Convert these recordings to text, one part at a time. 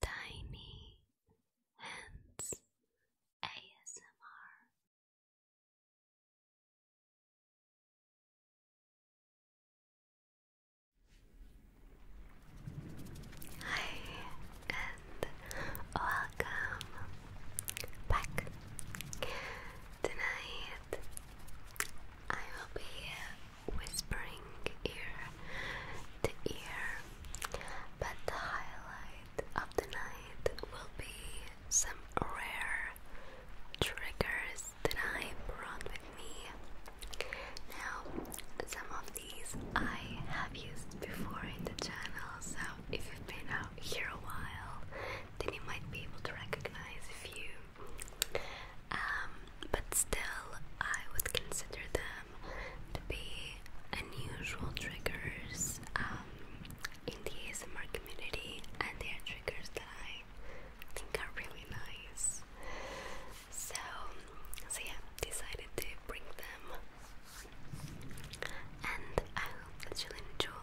Tiny Hands ASMR. Hi, and welcome back. Tonight I will be whispering ear to ear. But the highlight of the night will be some rare triggers that I brought me. Now, some of these I have used before in the channel, so if you've been out here a while, then you might be able to recognize a few. Um, but still, I would consider them to be unusual triggers um, in the ASMR community, and they are triggers that I think are really nice. So, so yeah, decided to bring them, and I hope that you enjoy.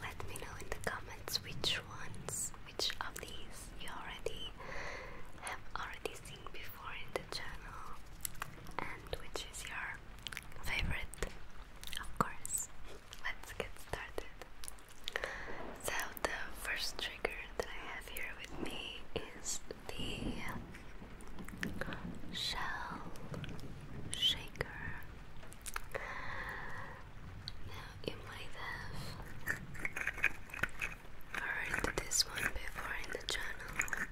Let me know in the comments which ones, which of these you already have already seen before in the channel and which is your favorite, of course. Let's get started. So, the first trigger that I have here with me is the shell shaker. Now, you might have heard this one before in the channel.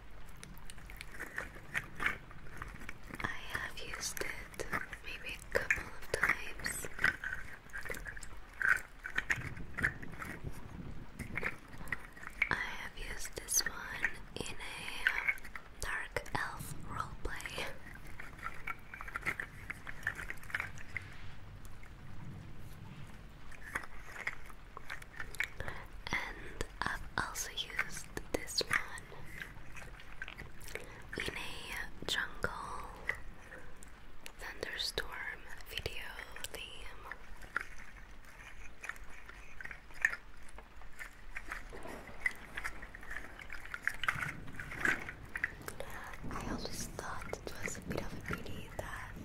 I have used it maybe a couple of times. I have used this one in a um, dark elf roleplay and i also used this one in a jungle thunderstorm video theme. I always thought it was a bit of a pity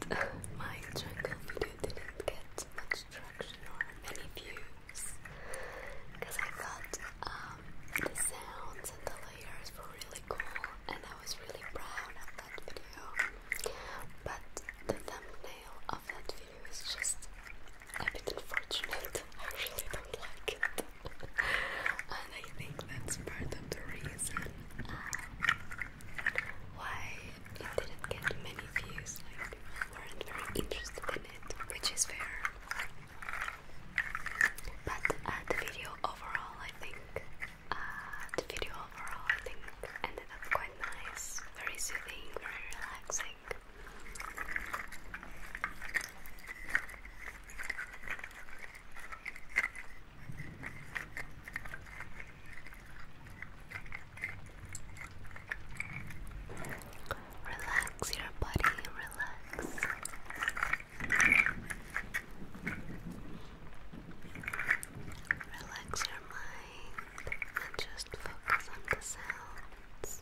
that my jungle video didn't get much traction or many views because I thought um, the sounds and the layers were really cool and I was really proud of that video but the thumbnail of that video is just a bit unfortunate I really don't like it and I think that's part of the reason um, why it didn't get many views, like people weren't very interested in it, which is fair. But uh, the video overall, I think, uh, the video overall, I think, ended up quite nice, very soothing, very relaxing. Relax your body, relax. Relax your mind and just focus on the sounds.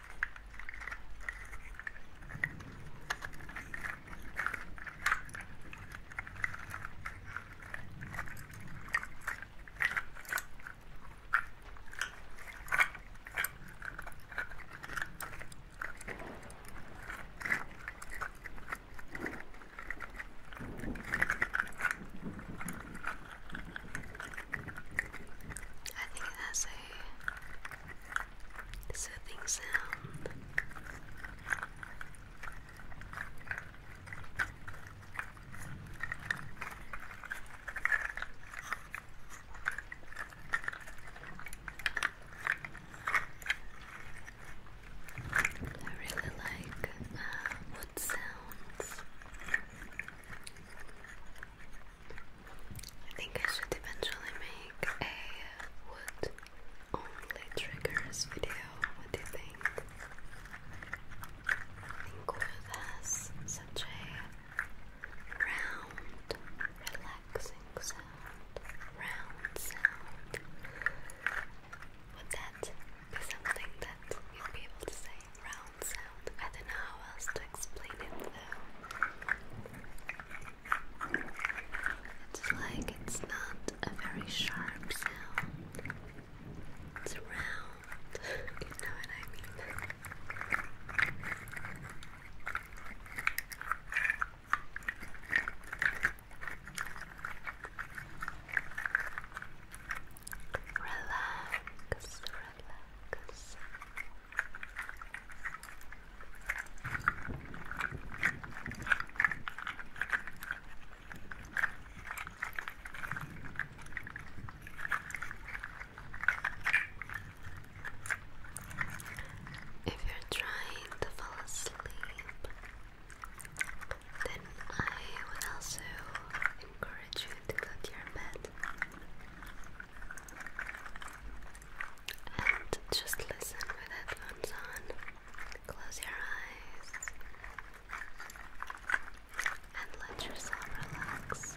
I think it a soothing sound. I really like uh, wood sounds. I think I should eventually make a wood only triggers video. What do you think? I think wood has such a round, relaxing sound. Round sound. Would that be something that you'd be able to say? Round sound. I don't know how else to explain it though. It's like it's not a very sharp sound. It's round, you know what I mean. Relax, relax. If you're trying to fall asleep, then I would also encourage you to go to your bed. And just listen with headphones on. Close your eyes and let yourself relax.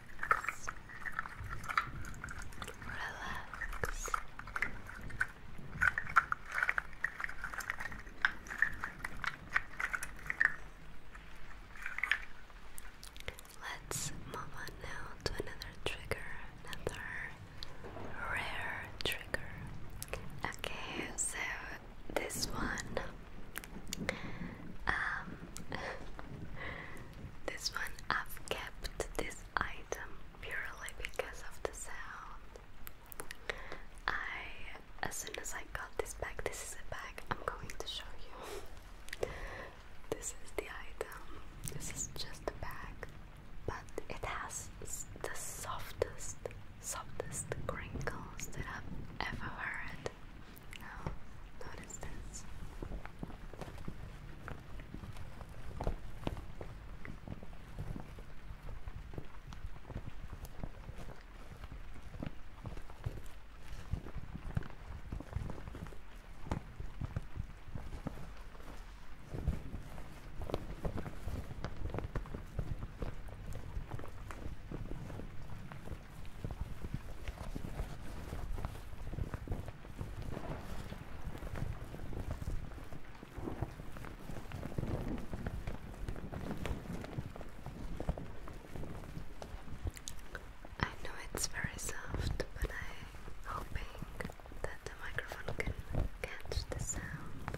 relax. Let's move on now to another trigger, another rare trigger. Okay, so this one um, This one I've kept this item purely because of the sound. I as soon as I got this bag, this is a bag I'm going to show you. this is the item. This is just the bag, but it has the softest, softest crinkles that I've ever heard. Now, notice this. I know it's very soft, but I'm hoping that the microphone can catch the sound.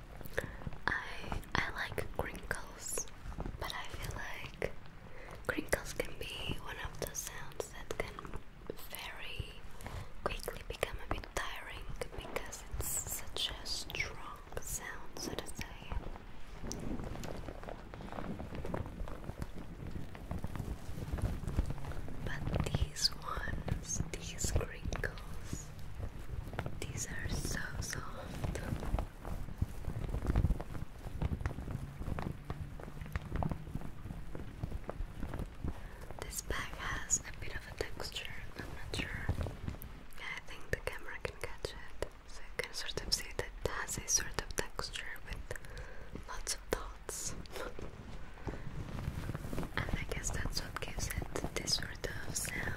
I I like crinkles, but I feel like crinkles can be one of the sounds that can very quickly become a bit tiring because it's such a strong sound, so to say. But these ones, these crinkles, these are so soft. This bag has a bit of a texture, I'm not sure. I think the camera can catch it. So you can sort of see that it has a sort of texture with lots of dots. And I guess that's what gives it this sort of sound.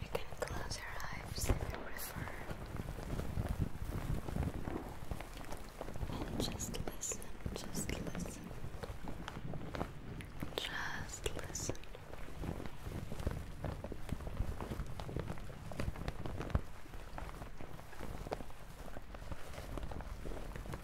You can close your eyes if you prefer and just listen, just listen, just listen.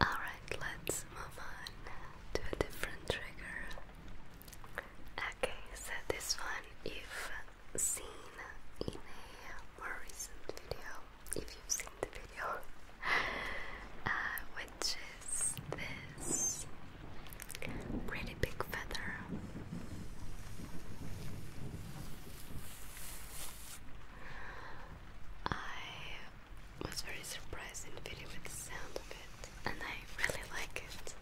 Alright, let's move on to a different trigger. Okay, so this one you've seen in a more recent video, if you've seen the video, uh, which is this pretty big feather. I was very surprised video with the sound of it, and I really like it.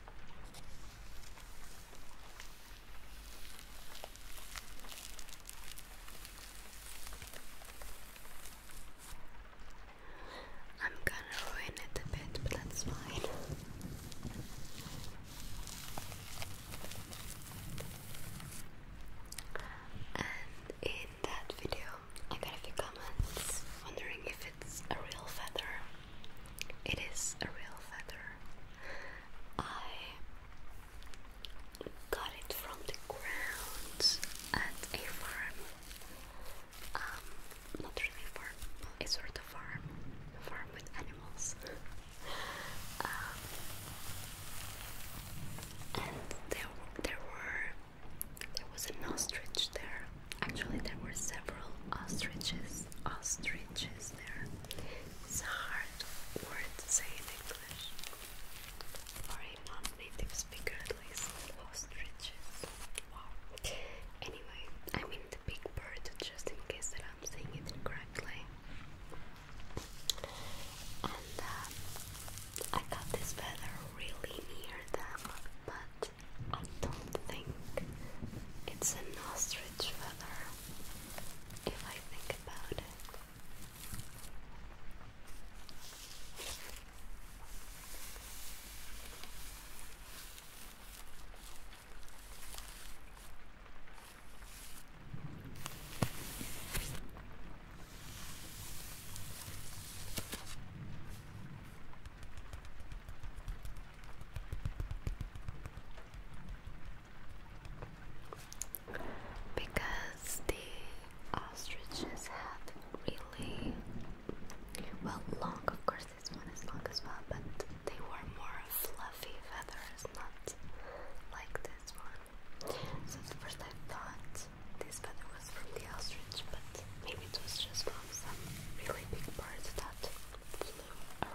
I'm gonna ruin it a bit, but that's fine. And in that video. I got a few comments wondering if it's a real feather. It is a real feather. I got it from the ground at a farm. Um, not really farm, it's sort of farm. A farm with animals. Um, and there there were there was an ostrich there. Actually, there were several ostriches. Ostriches there. It's a hard word to say in English. Or a non-native speaker at Ostriches. Wow. Anyway, I mean the big bird, just in case that I'm saying it incorrectly. Um, I got this feather really near them, but I don't think it's an ostrich feather if I think about it. Because the ostriches had really well long, of course, this one is long as well, but they were more fluffy feathers, not like this one. So first I thought this feather was from the ostrich, but maybe it was just from some really big bird that flew around.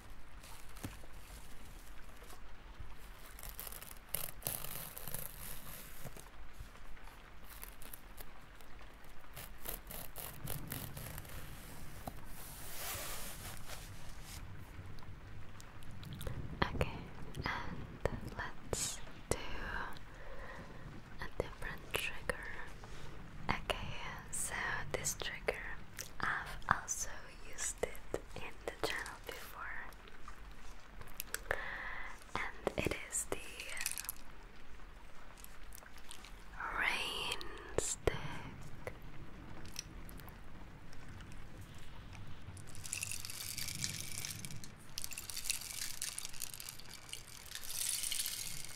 Okay, and let's do a different trigger. Okay, so this trigger I've also used it in the channel before, and it is the rain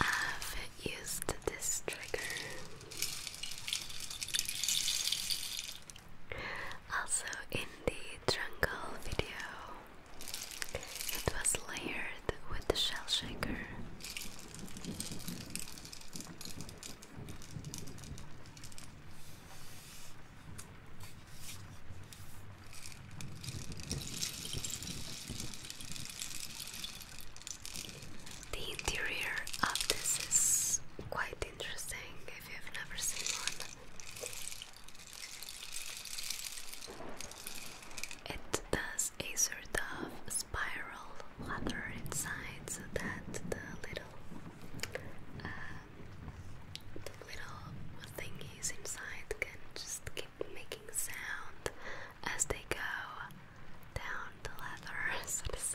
I've used this trigger also in the jungle video. It was layered with the shell shaker. The interior of this is quite interesting if you've never seen one. It does a sort of spiral ladder inside so that the little uh, the little thingies inside can just keep making sound as they go down the ladder, so to say.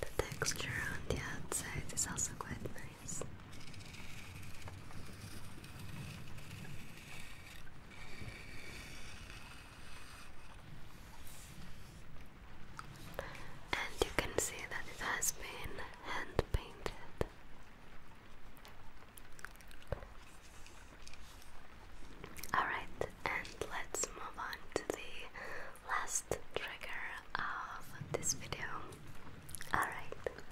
The texture on the outside is also quite nice. And you can see that it has been hand painted. Alright, and let's move on to the last last trigger of this video. Alright,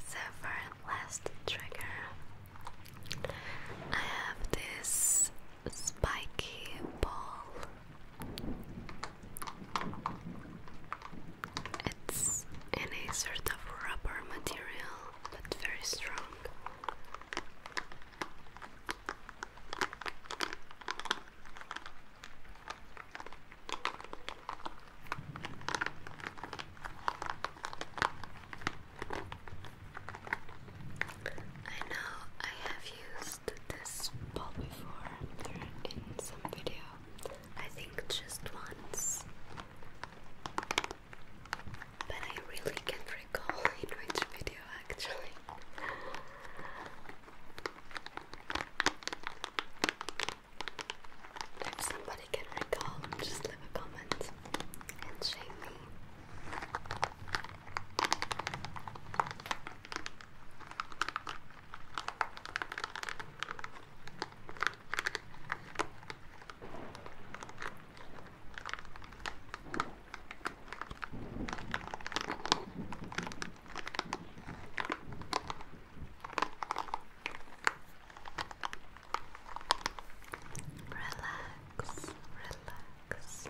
so for last trigger, I have this spiky ball. It's in a sort of rubber material, but very strong. I know I have used this ball before in some video. I think just once. But I really can't recall in which video actually. If somebody can recall, just leave a comment and shame me. Relax, relax. Relax.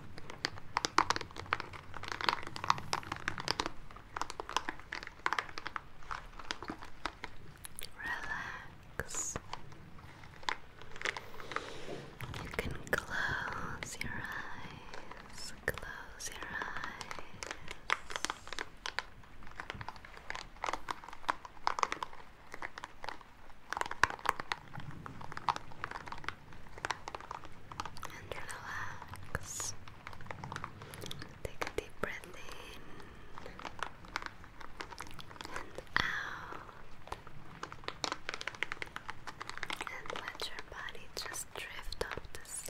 You can close your eyes close your eyes. And relax. Take a deep breath in and out. And let your body just drift off to sleep.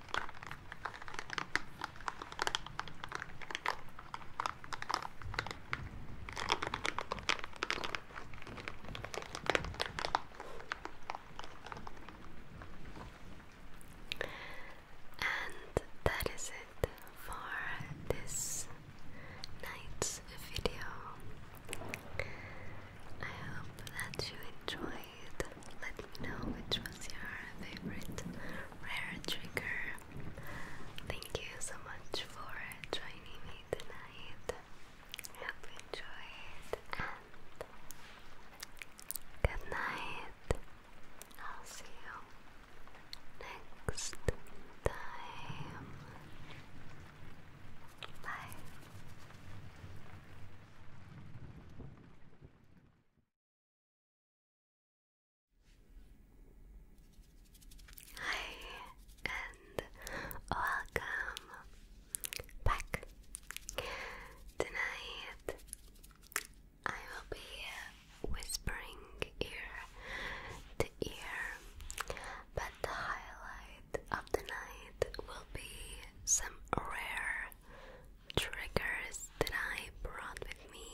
And that is it for this night's video. I hope that you enjoyed let me know which was your favorite rare trigger. Thank you so much for joining me tonight. hope you enjoyed and good night. I'll see you next time. Bye. Hi, and welcome back. Tonight I will be whispering ear to ear, but the highlight of the night will be some rare triggers that I brought with me.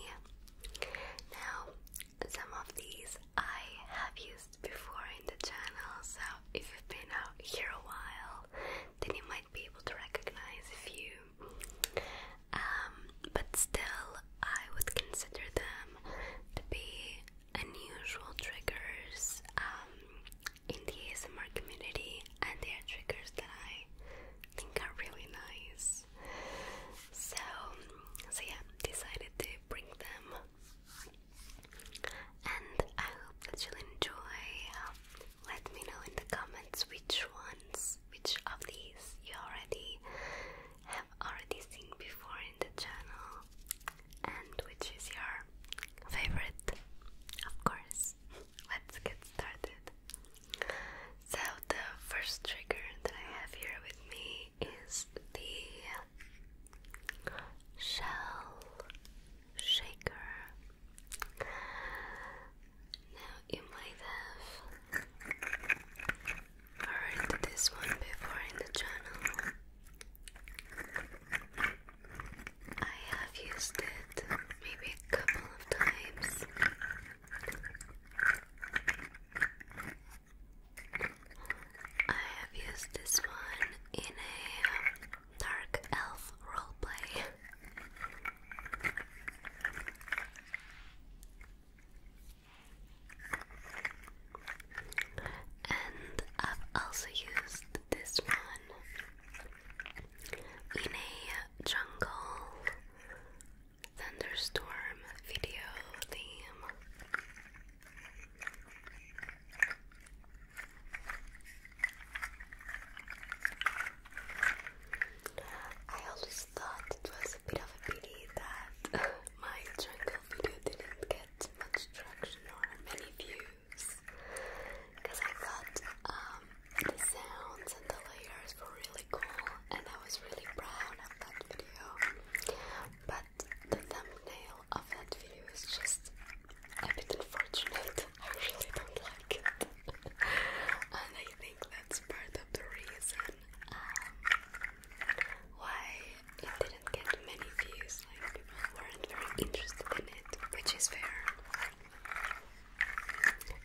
Now, some of these I have used before in the channel, so if you've been out here a while, then you might be able to recognize a few. Um, but still, I would consider them to be unusual triggers um, in the ASMR community, and they are triggers that I think are really nice. So, so yeah, decided to bring them, and I hope that you'll enjoy. Let me know in the comments which ones, which of these you already have already seen before in the channel, and which is your favorite, of course let's get started. So, the first trigger that I have here with me is the shell shaker. Now, you might have heard this one before in the channel. I have used it maybe a couple of times I have used this one in a um, dark elf roleplay. And I've also used this one in a jungle thunderstorm video theme. I always thought it was a bit of a pity that my jungle video didn't get much traction or many views because I thought um, the sounds and the layers were really cool and I was really proud of that video but the thumbnail of that video is just a bit unfortunate I really don't like it and I think that's part of the reason um, why it didn't get many views like people weren't very interested in it which is fair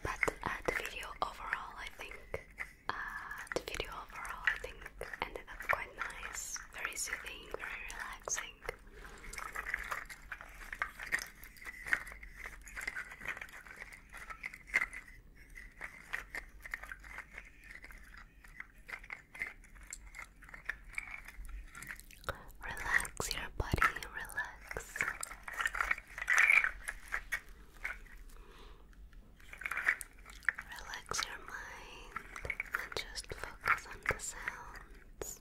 but uh, the video overall, I think, uh, the video overall, I think, ended up quite nice, very soothing, very relaxing. Relax your body, relax. Relax your mind and just focus on the sounds.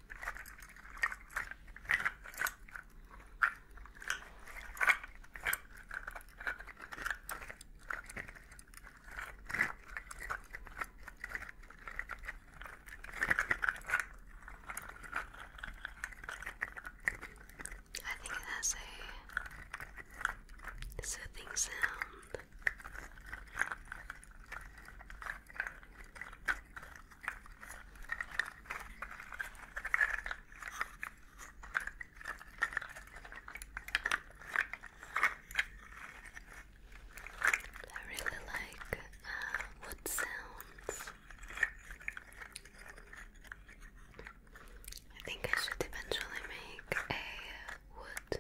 I think it has a soothing sound. I really like uh, wood sounds. I think I should eventually make a wood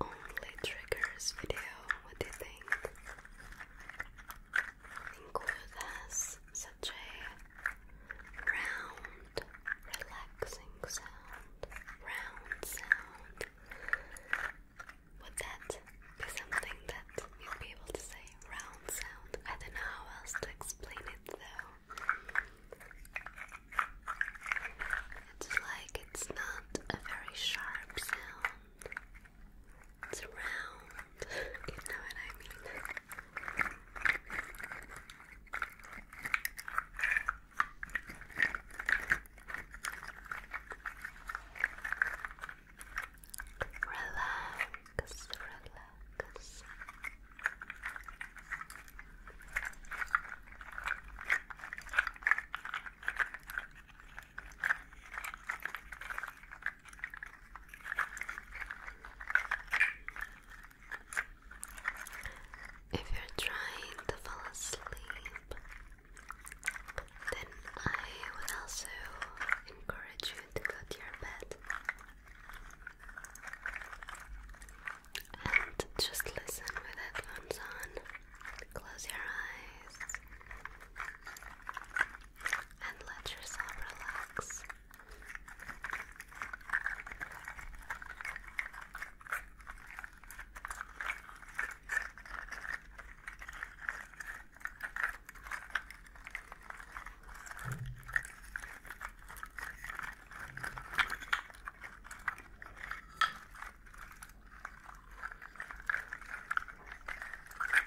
only triggers video. What do you think? Include as such a round, relaxing sound, round sound. Would that be something that you'd be able to say? Round sound. I don't know how else to explain it though. It's like it's not a very sharp sound. It's round, you know what I mean. Relax, relax. If you're trying to fall asleep, then I would also encourage you to go to your bed and just listen with headphones on. Close your eyes and let yourself relax.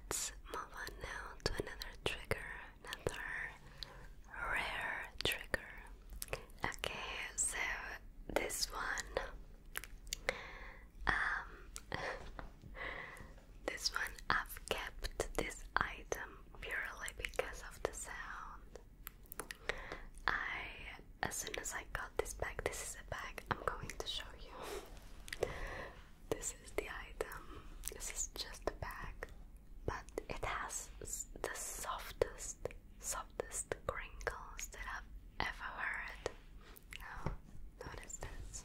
Let's move on now to another trigger, another rare trigger. Okay, so this one, um, this one I've kept this item purely because of the sound. I as soon as I got this bag, this is a bag I'm going to show you. this is the item. This is just a bag, but it has the softest, softest crinkles that I've ever heard. Now, oh, notice this.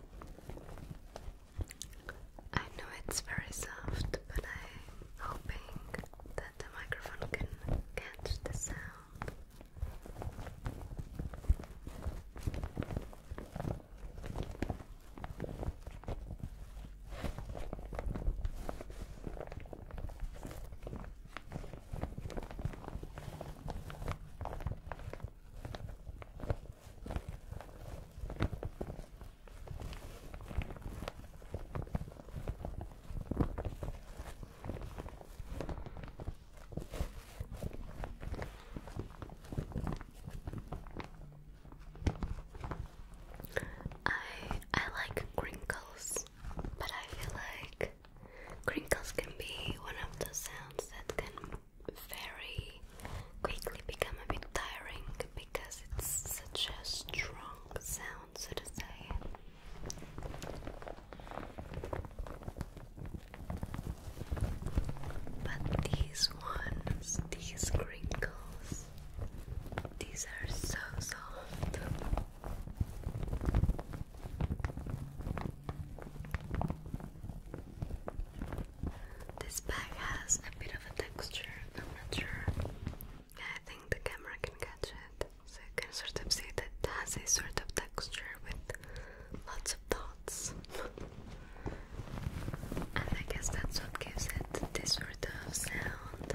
I know it's very soft, but I'm hoping that the microphone can catch the sound. I I like crinkles, but I feel like crinkles can be one of the sounds that can very quickly become a bit tiring because it's such a strong sound, so to say. But these ones, these crinkles, these are so soft. This bag has a bit of a texture, I'm not sure. I think the camera can catch it. So I can sort of see that it has a sort of texture with lots of dots. and I guess that's what gives it this sort of sound.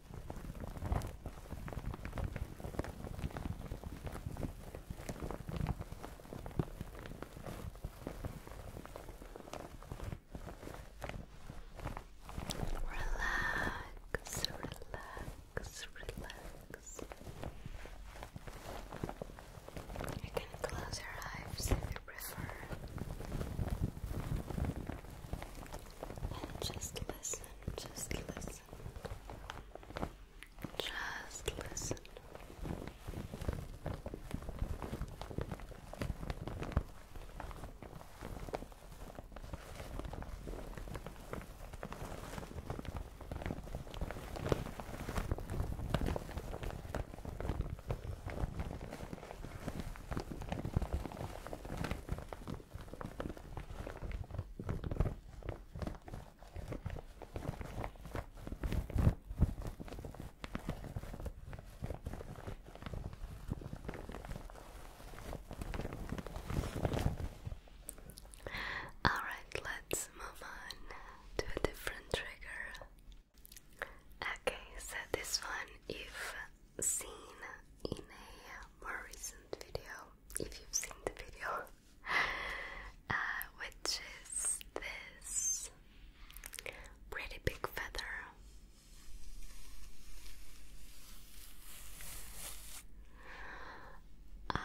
Relax, relax, relax. You can close your eyes if you prefer. And just listen, just listen. Just listen. Just listen. All right, let's move on to a different trigger. Okay, so this one, if seen in a more recent video, if you've seen the video, uh, which is this pretty big feather. I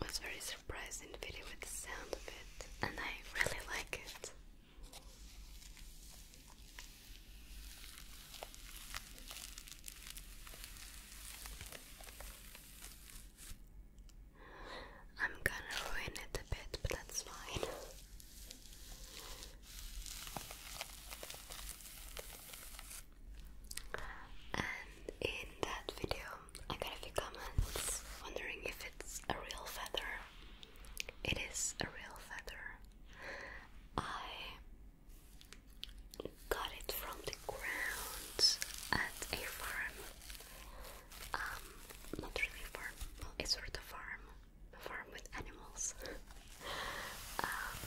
was very surprised in the video with the sound of it, and I really like it. I'm gonna ruin it a bit, but that's fine. And in that video, I got a few comments wondering if it's a real feather. It is a real feather. I got it from the ground at a farm. Um, not really farm, but sort of farm, a farm with animals. Um,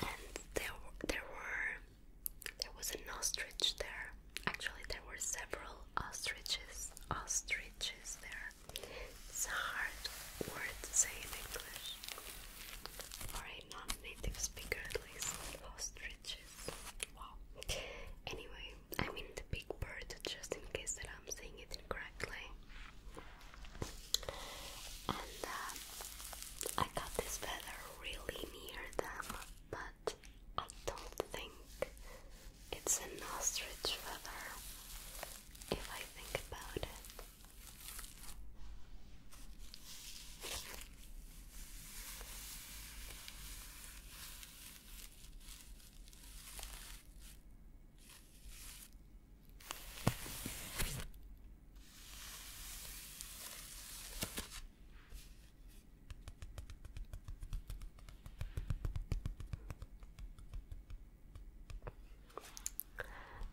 and there, there were, there was an ostrich there. Actually, there were several ostriches, ostriches there. It's a hard word to say in English. For a non-native speaker at least. Ostriches. Wow. Anyway, I mean the big bird just in case that I'm saying it incorrectly. And uh, I got this feather really near them, but I don't think it's an ostrich feather, if I think about it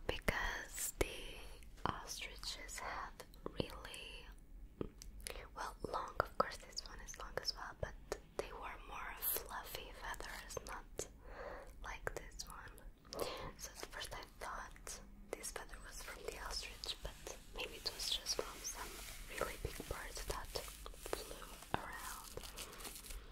because the ostriches have really well long of course this one is long as well but they were more fluffy feathers not like this one so at first I thought this feather was from the ostrich but maybe it was just from some really big bird that flew around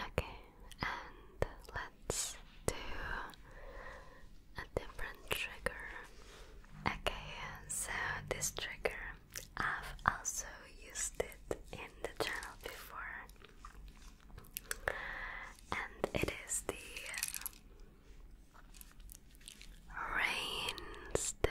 Okay, and let's do a different trigger. Okay, so this trigger I've also used it in the channel before, and it is the rain stick.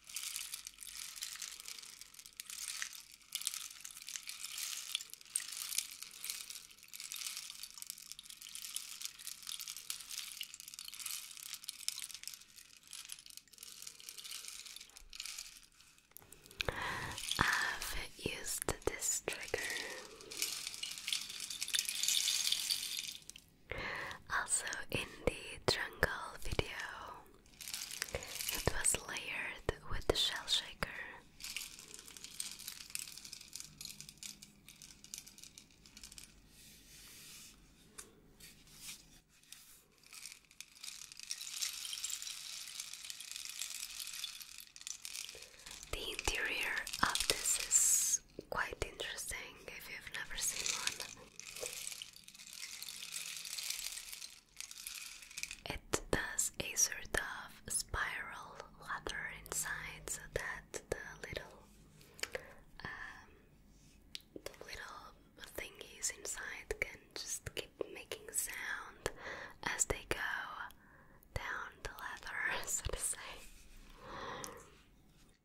I've used this trigger also, in the jungle video, it was layered with the shell shaker. The interior of this is quite interesting if you've never seen one. It does a sort of spiral leather inside so that the little um, the little thingies inside can just keep making sound as they go down the leather, so to say.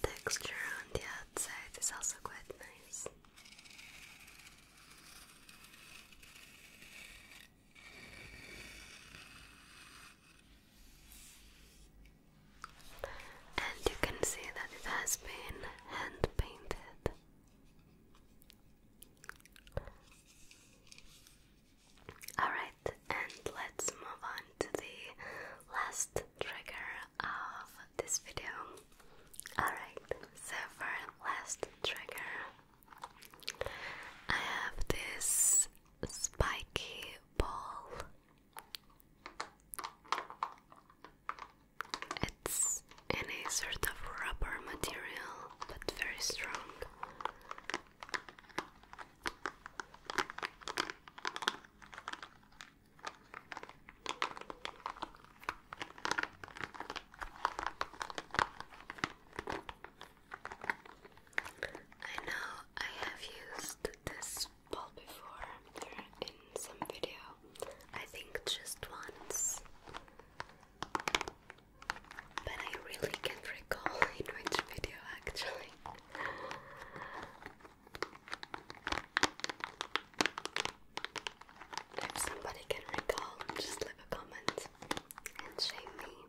The texture on the outside is also quite nice. And you can see that it has been hand painted. Alright, and let's move on to the last trigger of this video. Alright, so for last trigger, I have this spiky ball. It's in sort of rubber material, but very strong. I know I have used this ball before in some video. I think just once. But I really can't recall in which video actually. If somebody can recall, just leave a comment and shame me.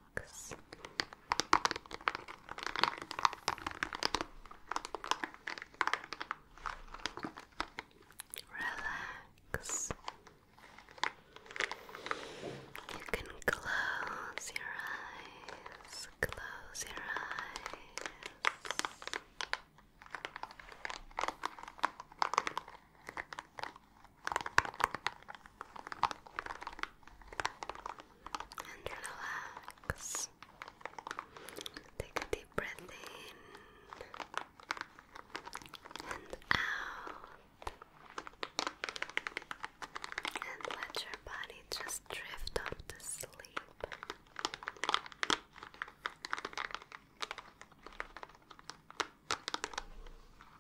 Relax. You can close your eyes, close your eyes and relax. Take a deep breath in and out, and let your body just drift off to sleep.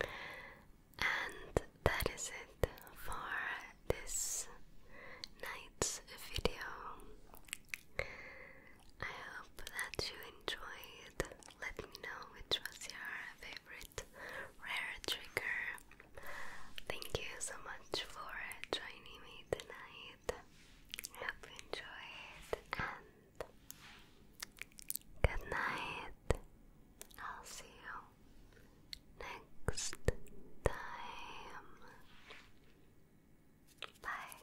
And that is it for this night's video. I hope that you enjoyed. Let me know which was your favorite rare trigger. Thank you so much for joining me tonight. hope you enjoyed, Good night. I'll see you next time. Bye.